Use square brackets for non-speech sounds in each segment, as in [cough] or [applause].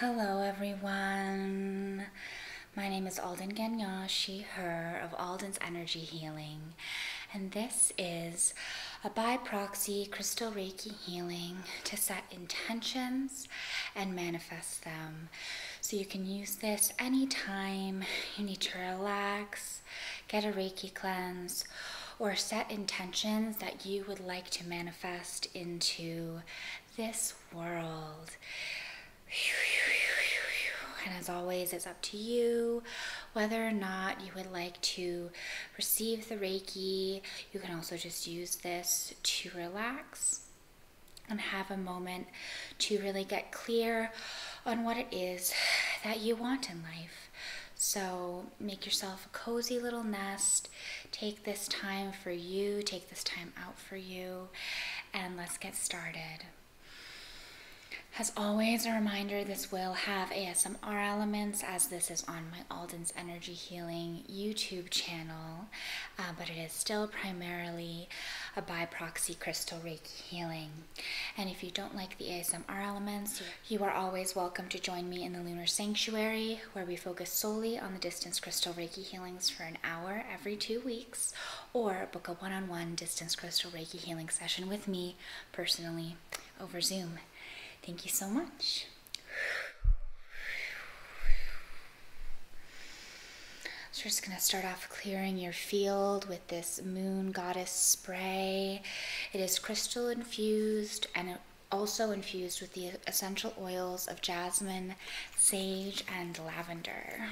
Hello, everyone. My name is Alden Gagnon, she, her, of Alden's Energy Healing, and this is a by proxy crystal Reiki healing to set intentions and manifest them. So you can use this anytime you need to relax, get a Reiki cleanse, or set intentions that you would like to manifest into this world. And as always, it's up to you whether or not you would like to receive the Reiki. You can also just use this to relax and have a moment to really get clear on what it is that you want in life. So make yourself a cozy little nest. Take this time for you, take this time out for you, and let's get started. As always, a reminder this will have ASMR elements as this is on my Alden's Energy Healing YouTube channel, uh, but it is still primarily a by proxy crystal Reiki healing. And if you don't like the ASMR elements, you are always welcome to join me in the Lunar Sanctuary, where we focus solely on the distance crystal Reiki healings for an hour every two weeks, or book a one on one distance crystal Reiki healing session with me personally over Zoom. Thank you so much. So we're just going to start off clearing your field with this moon goddess spray. It is crystal infused and also infused with the essential oils of jasmine, sage, and lavender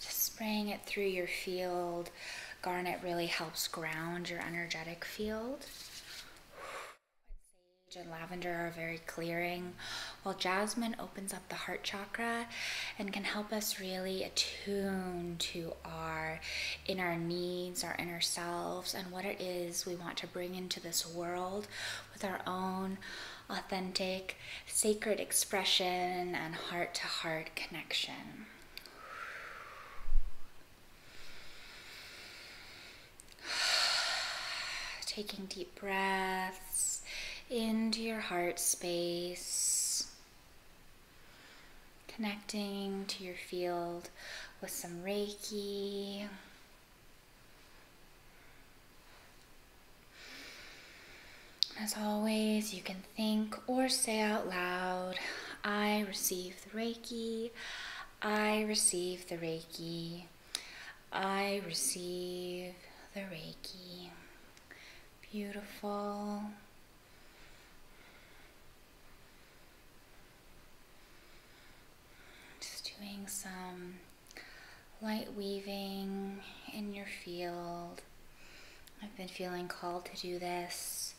spraying it through your field. Garnet really helps ground your energetic field. Sage and lavender are very clearing, while jasmine opens up the heart chakra and can help us really attune to our inner needs, our inner selves, and what it is we want to bring into this world with our own authentic sacred expression and heart to heart connection. [sighs] Taking deep breaths into your heart space, connecting to your field with some Reiki. As always, you can think or say out loud, I receive the Reiki, I receive the Reiki, I receive the Reiki. Beautiful. Just doing some light weaving in your field. I've been feeling called to do this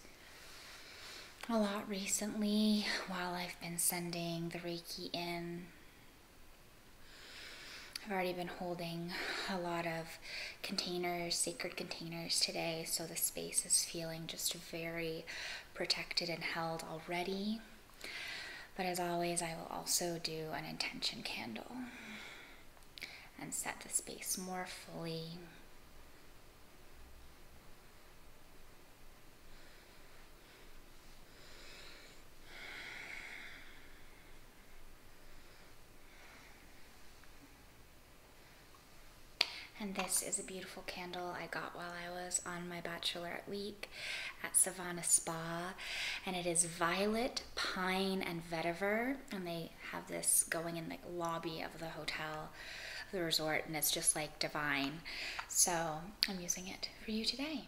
a lot recently while I've been sending the Reiki in. I've already been holding a lot of containers, sacred containers today, so the space is feeling just very protected and held already. But as always, I will also do an intention candle and set the space more fully. And this is a beautiful candle I got while I was on my bachelorette week at Savannah Spa, and it is violet, pine, and vetiver. And they have this going in the lobby of the hotel, the resort, and it's just like divine. So I'm using it for you today.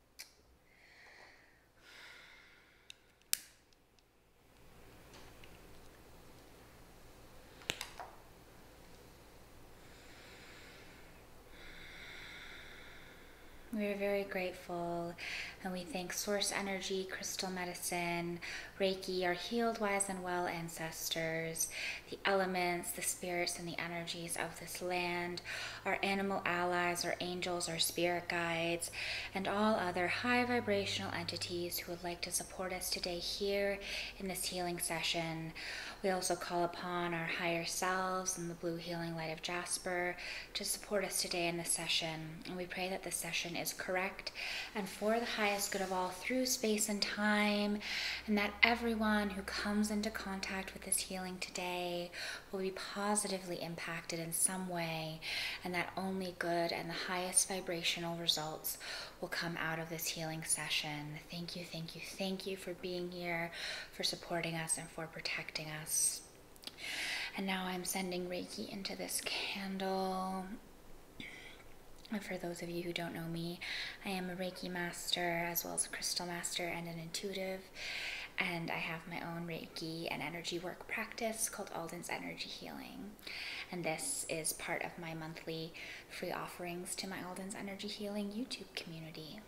We are very grateful and we thank Source Energy, Crystal Medicine, Reiki, our healed, wise, and well ancestors, the elements, the spirits, and the energies of this land, our animal allies, our angels, our spirit guides, and all other high vibrational entities who would like to support us today here in this healing session. We also call upon our higher selves and the blue healing light of Jasper to support us today in this session. And we pray that this session is correct and for the highest good of all through space and time, and that everyone who comes into contact with this healing today will be positively impacted in some way, and that only good and the highest vibrational results will come out of this healing session. Thank you, thank you, thank you for being here, for supporting us, and for protecting us. And now I'm sending Reiki into this candle. And for those of you who don't know me, I am a Reiki master as well as a crystal master and an intuitive. And I have my own Reiki and energy work practice called Alden's Energy Healing. And this is part of my monthly free offerings to my Alden's Energy Healing YouTube community.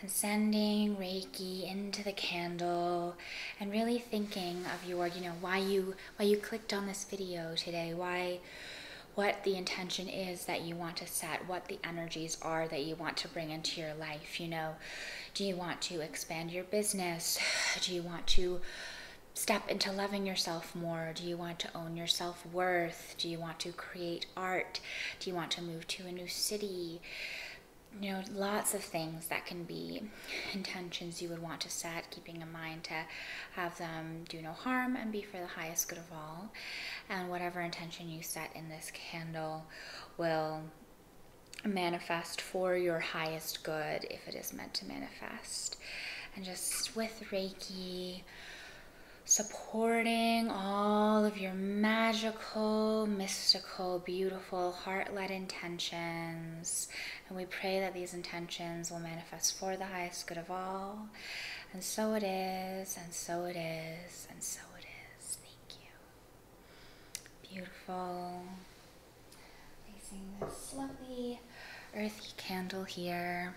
And sending Reiki into the candle and really thinking of your, you know, why you why you clicked on this video today, why what the intention is that you want to set, what the energies are that you want to bring into your life. You know, do you want to expand your business? Do you want to step into loving yourself more? Do you want to own your self worth? Do you want to create art? Do you want to move to a new city? You know, lots of things that can be intentions you would want to set, keeping in mind to have them do no harm and be for the highest good all. And whatever intention you set in this candle will manifest for your highest good if it is meant to manifest. And just with Reiki, supporting all of your magical, mystical, beautiful, heart led intentions. And we pray that these intentions will manifest for the highest good of all. And so it is, and so it is, and so it is. Thank you. Beautiful. Placing this lovely earthy candle here.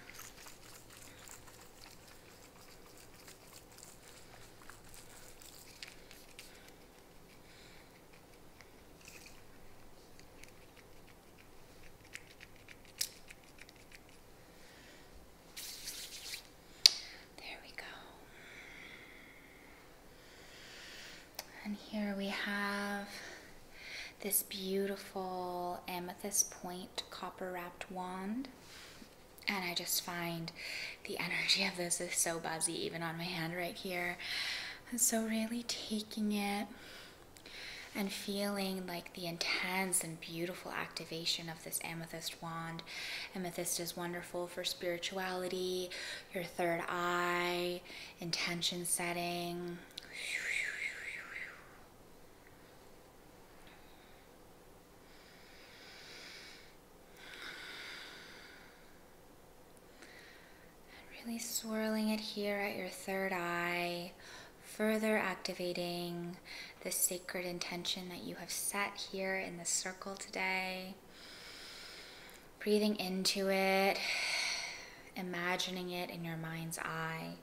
There we go. And here we have this beautiful amethyst point copper wrapped wand. And I just find the energy of this is so buzzy, even on my hand right here. so, really taking it and feeling like the intense and beautiful activation of this amethyst wand. Amethyst is wonderful for spirituality, your third eye, intention setting. really swirling it here at your third eye further activating the sacred intention that you have set here in the circle today. Breathing into it, imagining it in your mind's eye.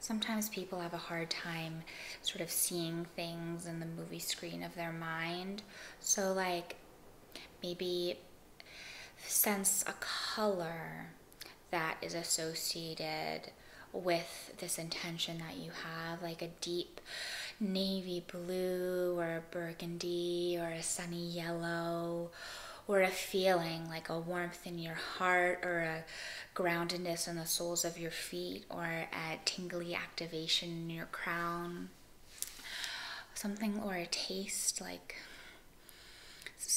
Sometimes people have a hard time sort of seeing things in the movie screen of their mind. So, like, maybe sense a color, that is associated with this intention that you have, like a deep navy blue or a burgundy or a sunny yellow or a feeling like a warmth in your heart or a groundedness in the soles of your feet or a tingly activation in your crown something or a taste like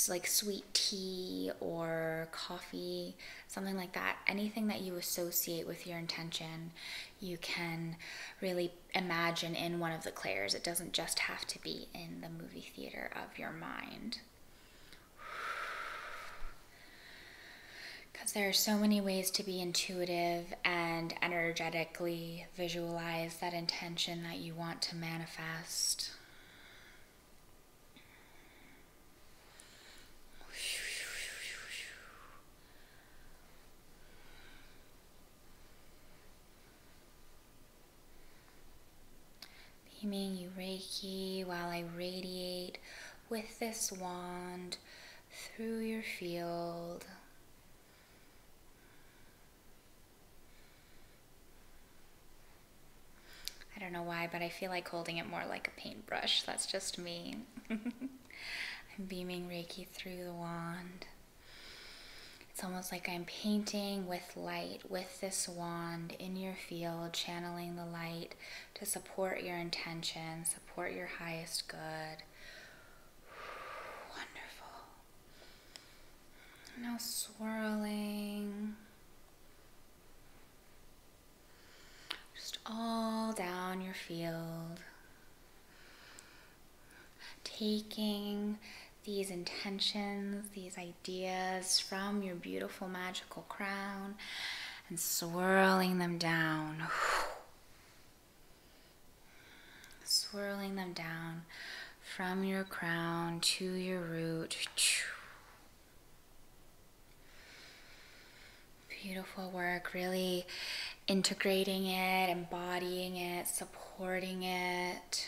like sweet tea or coffee, something like that. Anything that you associate with your intention, you can really imagine in one of the clairs. It doesn't just have to be in the movie theater of your mind. Because [sighs] there are so many ways to be intuitive and energetically visualize that intention that you want to manifest. Beaming you Reiki while I radiate with this wand through your field. I don't know why, but I feel like holding it more like a paintbrush. That's just me. [laughs] I'm beaming Reiki through the wand. It's almost like I'm painting with light with this wand in your field, channeling the light to support your intention, support your highest good. [sighs] Wonderful. Now swirling just all down your field. Taking these intentions, these ideas from your beautiful magical crown and swirling them down. swirling them down from your crown to your root Beautiful work, really integrating it, embodying it, supporting it.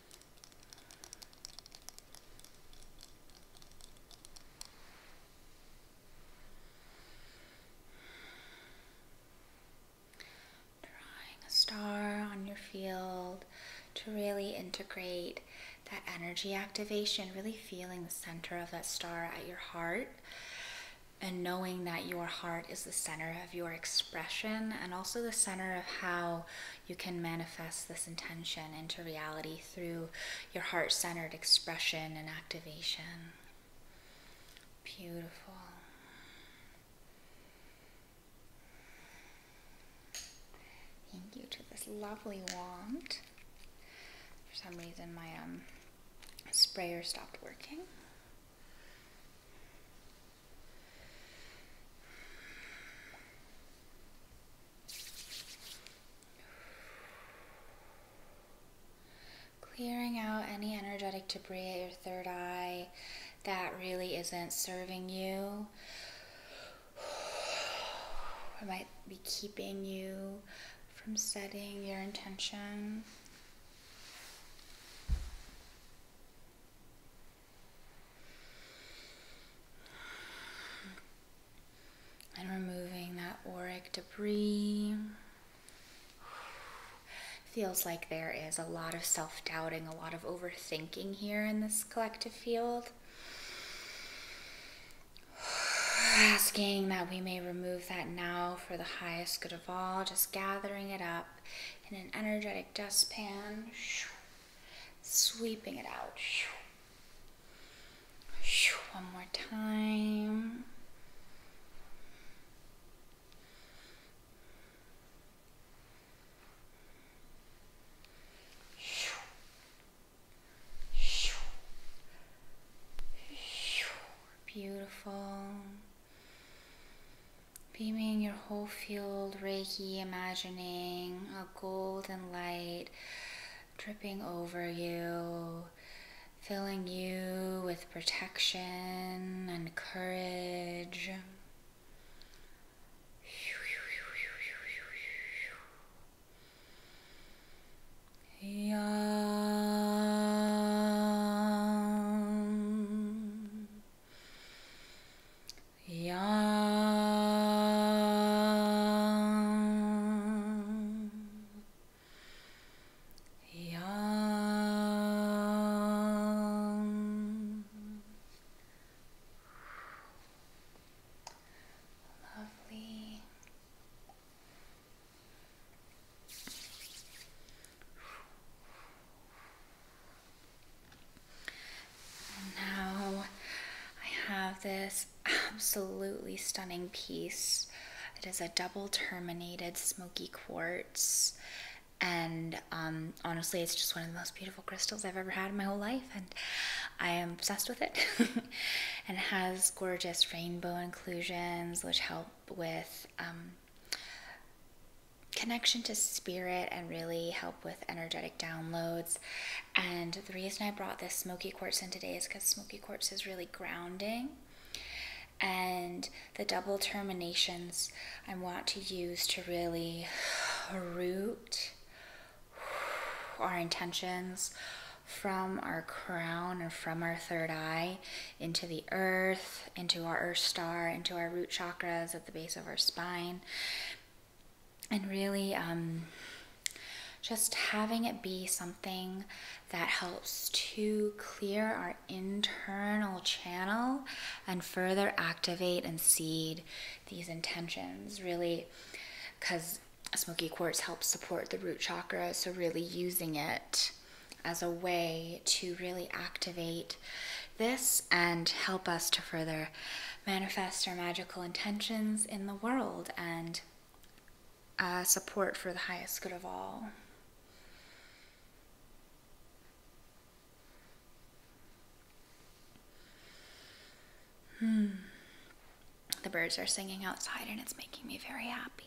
Drawing a star on your field to really integrate that energy activation, really feeling the center of that star at your heart and knowing that your heart is the center of your expression and also the center of how you can manifest this intention into reality through your heart centered expression and activation. Beautiful. Thank you to this lovely wand. For some reason, my um, sprayer stopped working. Clearing out any energetic debris at your third eye that really isn't serving you or might be keeping you from setting your intention. And removing that auric debris. Feels like there is a lot of self doubting, a lot of overthinking here in this collective field. [sighs] Asking that we may remove that now for the highest good of all, just gathering it up in an energetic dustpan. Sweeping it out. One more time. Beautiful. Beaming your whole field, Reiki, imagining golden light dripping over you, filling you with protection and courage. Yum. Yum. Yum. Lovely now I have this absolutely stunning piece. It is a double terminated smoky quartz. And um, honestly, it's just one of the most beautiful crystals I've ever had in my whole life, and I am obsessed with it. [laughs] and it has gorgeous rainbow inclusions, which help with um, connection to spirit and really help with energetic downloads. And the reason I brought this smoky quartz in today is because smoky quartz is really grounding. And the double terminations I want to use to really root our intentions from our crown and from our third eye into the earth, into our earth star, into our root chakras at the base of our spine and really um, just having it be something that helps to clear our internal channel and further activate and seed these intentions, really, because smoky quartz helps support the root chakra, so, really using it as a way to really activate this and help us to further manifest our magical intentions in the world and uh, support for the highest good of all. Hmm. The birds are singing outside and it's making me very happy.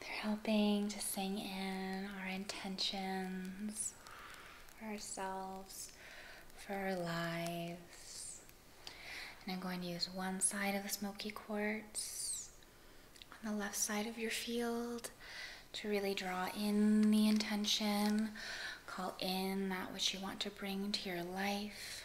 They're helping to sing in our intentions for ourselves, for our lives. And I'm going to use one side of the smoky quartz on the left side of your field to really draw in the intention, call in that which you want to bring to your life.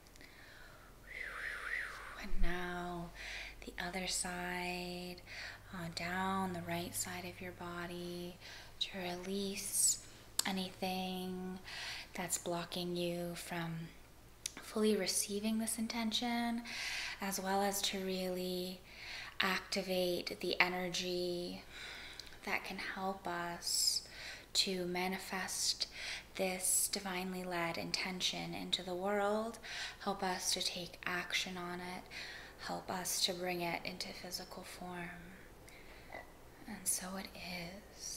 And now the other side, uh, down the right side of your body to release anything that's blocking you from fully receiving this intention, as well as to really activate the energy that can help us to manifest this divinely led intention into the world. Help us to take action on it. Help us to bring it into physical form. And so it is.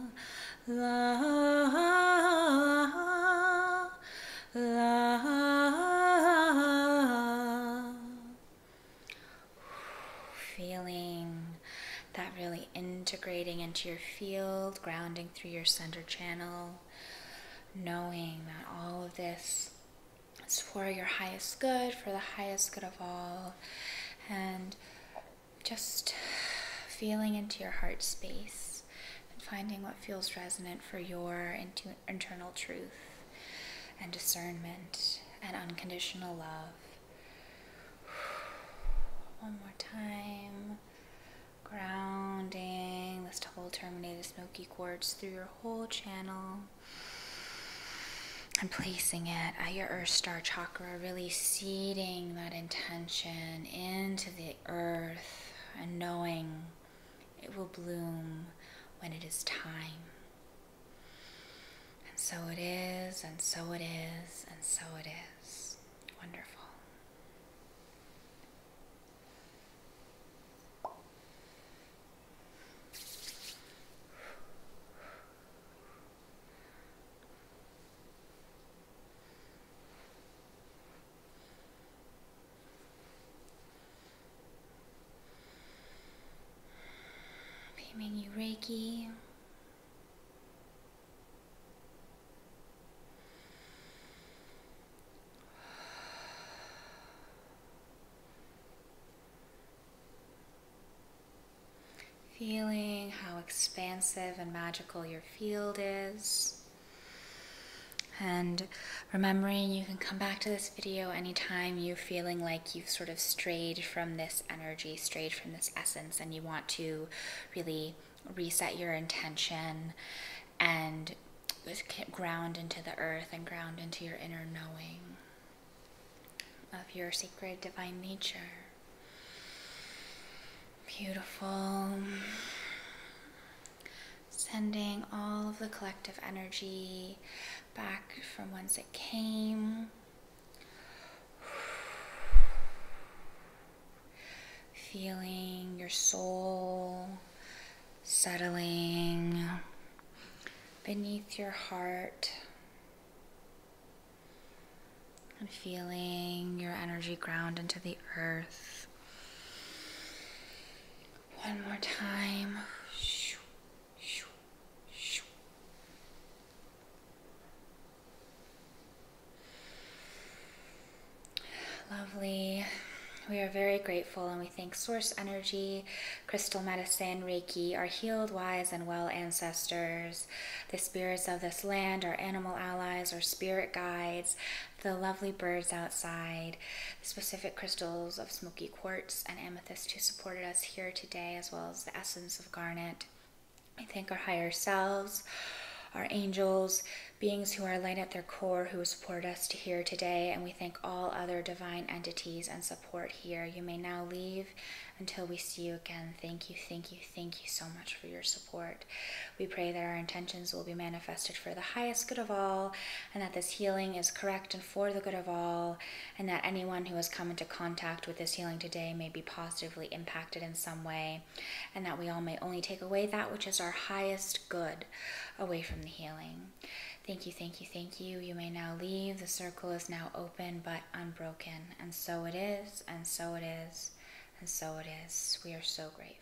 la la feeling that really integrating into your field grounding through your center channel knowing that all of this is for your highest good for the highest good of all and just feeling into your heart space and finding what feels resonant for your internal truth and discernment and unconditional love. [sighs] One more time. Grounding this whole terminated smoky quartz through your whole channel. And placing it at your earth star chakra, really seeding that intention into the earth and knowing it will bloom when it is time. And so it is, and so it is, and so it is. Wonderful. Beaming you Reiki. Feeling how expansive and magical your field is. And remembering you can come back to this video anytime you're feeling like you've sort of strayed from this energy, strayed from this essence, and you want to really reset your intention and ground into the earth and ground into your inner knowing of your sacred divine nature. Beautiful. Sending all of the collective energy back from whence it came. Feeling your soul settling beneath your heart and feeling your energy ground into the earth. One more time. Lovely. We are very grateful and we thank Source Energy crystal medicine, Reiki, our healed, wise, and well ancestors, the spirits of this land, our animal allies, our spirit guides, the lovely birds outside, the specific crystals of smoky quartz and amethyst who supported us here today, as well as the essence of garnet. I thank our higher selves, our angels, beings who are light at their core, who support us to here today, and we thank all other divine entities and support here. You may now leave until we see you again, thank you, thank you, thank you so much for your support. We pray that our intentions will be manifested for the highest good of all, and that this healing is correct and for the good of all, and that anyone who has come into contact with this healing today may be positively impacted in some way, and that we all may only take away that which is our highest good away from the healing. Thank you, thank you, thank you. You may now leave. The circle is now open open but unbroken. And so it is, and so it is, and so it is. We are so grateful.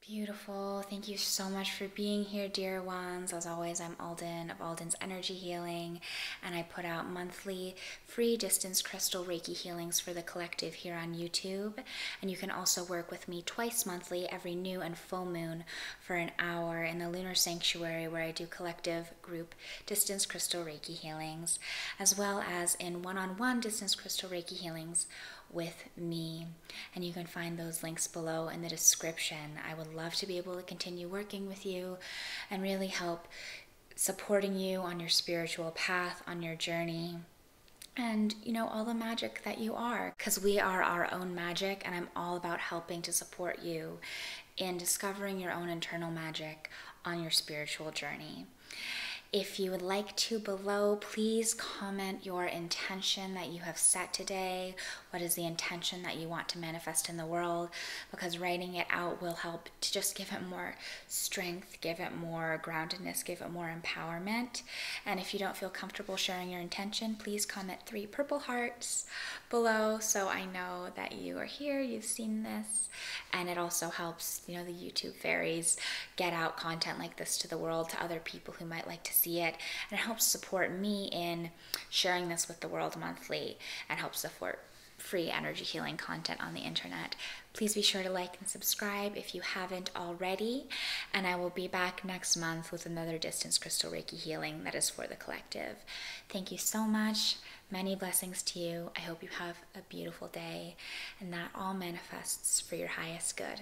Beautiful. Thank you so much for being here, dear ones. As always, I'm Alden of Alden's Energy Healing, and I put out monthly free distance crystal Reiki healings for the collective here on YouTube. And you can also work with me twice monthly, every new and full moon for an hour in the Lunar Sanctuary where I do collective group distance crystal Reiki healings, as well as in one on one distance crystal Reiki healings with me. And you can find those links below in the description. I would love to be able to continue working with you and really help supporting you on your spiritual path, on your journey and you know all the magic that you are because we are our own magic and i'm all about helping to support you in discovering your own internal magic on your spiritual journey if you would like to below, please comment your intention that you have set today. What is the intention that you want to manifest in the world? Because writing it out will help to just give it more strength, give it more groundedness, give it more empowerment. And if you don't feel comfortable sharing your intention, please comment three purple hearts below so I know that you are here, you've seen this. And it also helps, you know, the YouTube fairies get out content like this to the world, to other people who might like to see it. And it helps support me in sharing this with the world monthly and helps support free energy healing content on the internet. Please be sure to like and subscribe if you haven't already. And I will be back next next month with another distance crystal reiki healing that is for the collective. Thank you so much. Many blessings to you. I hope you have a beautiful day and that all manifests for your highest good.